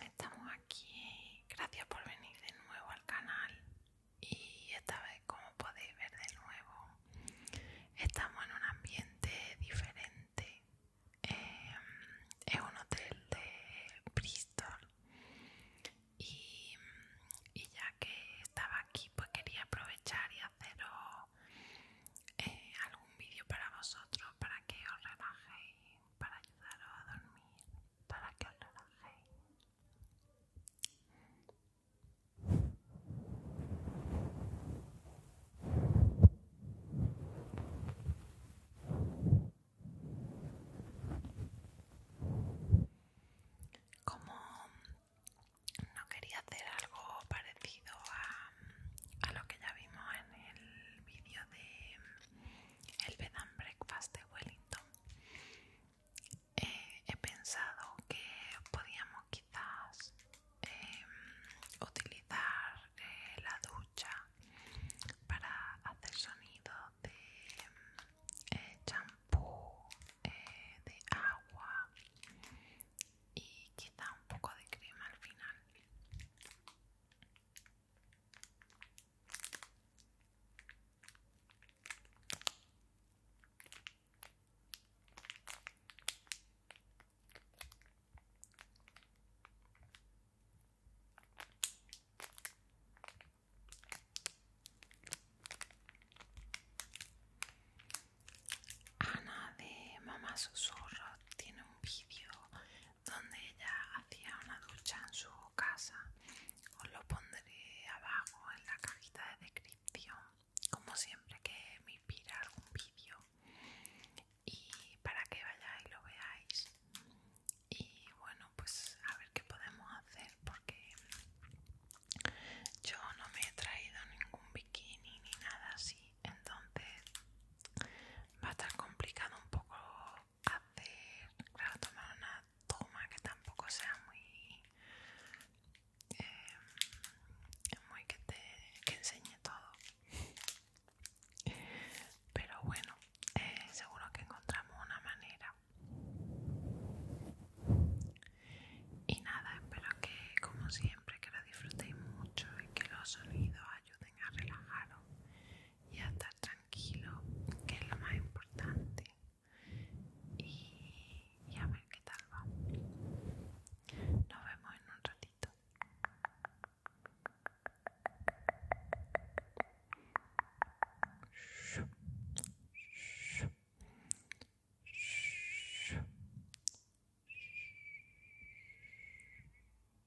estamos aquí. Gracias por venir de nuevo al canal. Y esta vez, como podéis ver de nuevo, estamos en un ambiente diferente. Eh, es un hotel de Bristol. Y, ya que estaba aquí, pues quería aprovechar y haceros eh, algún vídeo para vosotros para que os relajéis para ayudaros a dormir, para que os Como no quería hacer algo parecido a, a lo que ya vimos en el vídeo de el bed and breakfast de Wellington eh, he pensado que podíamos quizás em, utilizar eh, la ducha para hacer sonido de eh, champú de agua y quizá un poco de crema al final Ana de Mamá Susurro tiene un vídeo donde ella hacía una ducha en su casa. Os lo pondré abajo en la cajita de descripción, como siempre que me inspira algún vídeo, y para que vayáis lo veáis. Y bueno, pues a ver qué podemos hacer, porque yo no me he traído ningún bikini ni nada así, entonces va a estar complicado un poco hacer, claro, tomar una toma que tampoco sea muy, em, muy que te que enseñe todo. Pero bueno, eh, seguro que encontramos una manera. Y nada, espero que como siempre que lo disfrutéis mucho y que los sonidos ayuden a relajaros ya está estar tranquilo, que es lo más importante. Y, ya ver qué tal va. Nos vemos en un ratito.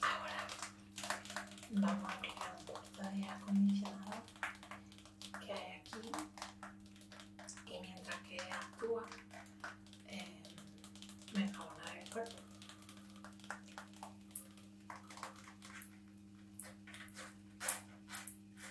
Ahora vamos a aplicar un poquito de acondicionado que hay aquí y mientras que actúa eh, me enjabonaré el cuerpo.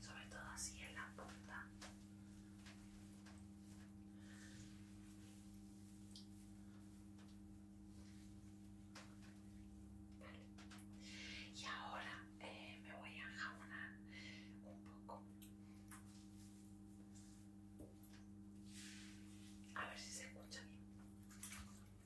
sobre todo así en la punta. Y ahora eh, me voy a jabonar un poco. A ver si se escucha bien.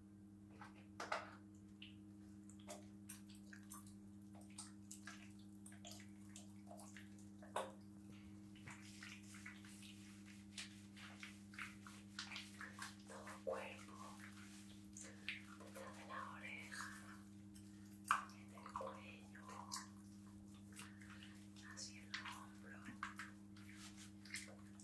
todo cuerpo detrás de la oreja en el cuello hacia el hombro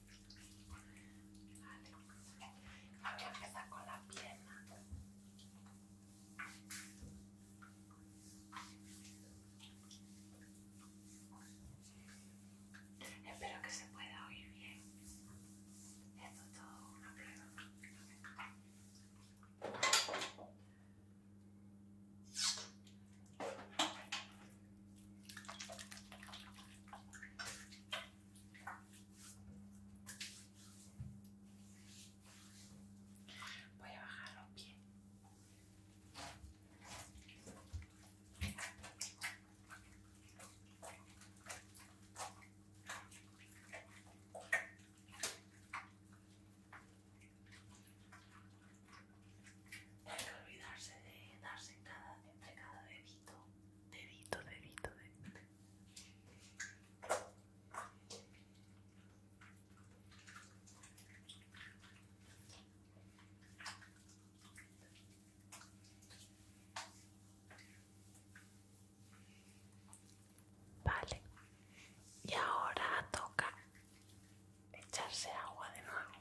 Vale. Ahora empezar con la pierna. Espero que se pueda oír bien. Esto es todo una prueba. Voy a bajar los pies. hay que olvidarse de darse cada, entre cada bebito dedito, dedito, dedito. Vale, y ahora toca echarse agua de nuevo.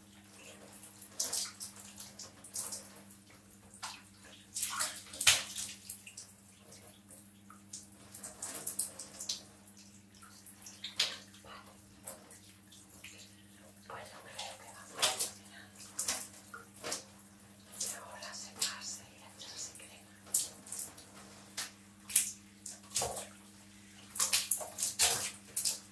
Pues creo que ahora se pasa y la entrada crema.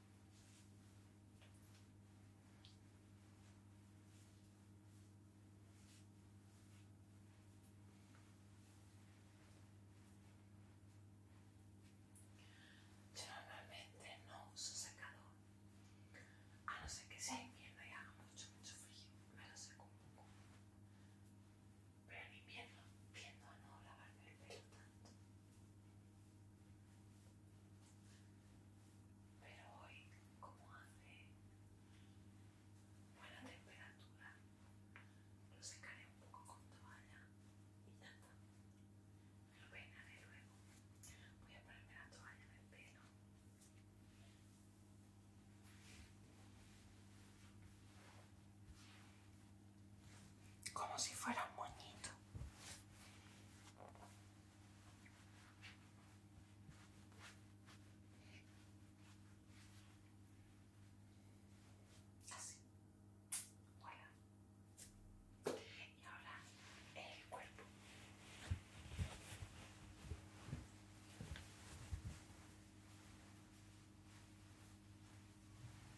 Yo normalmente no uso secador, a no ser que sea invierno y haga mucho, mucho frío, me lo seco un poco. Pero en invierno viendo a no lavarme el pelo tanto. Pero hoy, como hace buena temperatura, lo secaré un poco con toalla y ya está. lo peinaré luego. Voy a ponerme la toalla en el pelo como si fuera un moñito. Así. Bueno. Y ahora el cuerpo.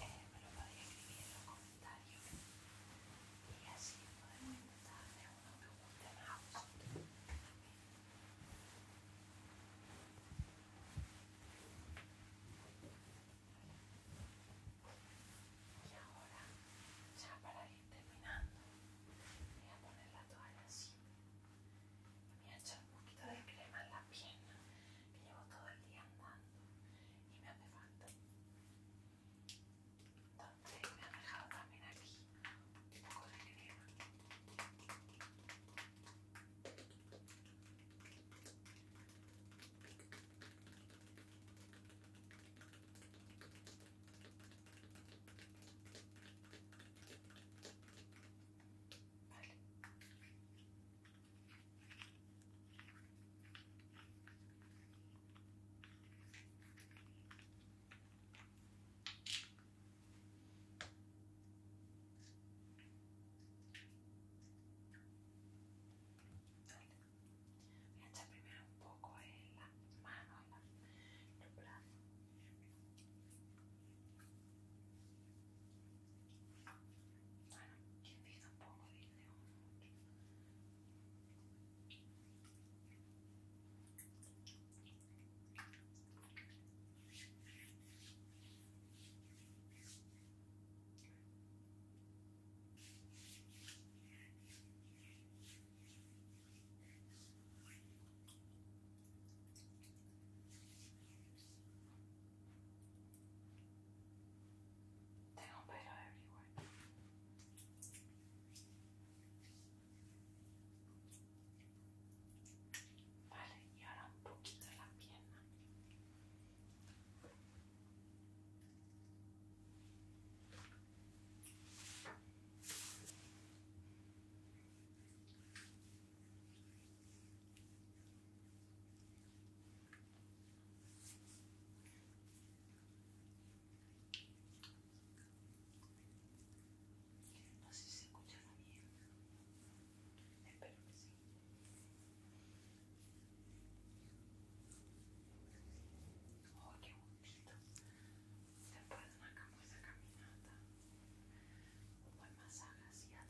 Eh, me lo podéis escribir en los comentarios y así podemos intentar hacer uno que os guste más Y ahora, ya para ir terminando, voy a poner la toalla así me ha echado un poquito de crema en la pierna que llevo todo el día andando y me hace falta. Entonces me ha dejado también aquí un poco de crema. Vale. Voy a echar primero un poco en la mano, en, la, brazo. Bueno, quien vive tampoco mucho. Tengo pelo everywhere. Vale, y ahora un poquito la pierna. No sé si se la bien. Espero que sí. Oh, qué bonito. Después de una caminata, un buen masaje hacia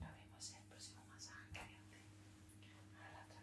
lo vemos el próximo masaje a la otra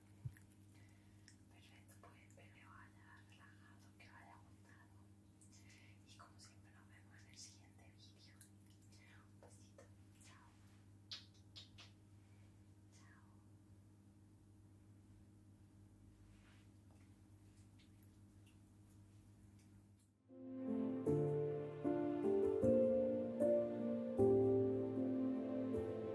Perfecto, pues espero que haya relajado, que vaya haya Y como siempre, nos vemos en el siguiente video Un besito, chao. Chao.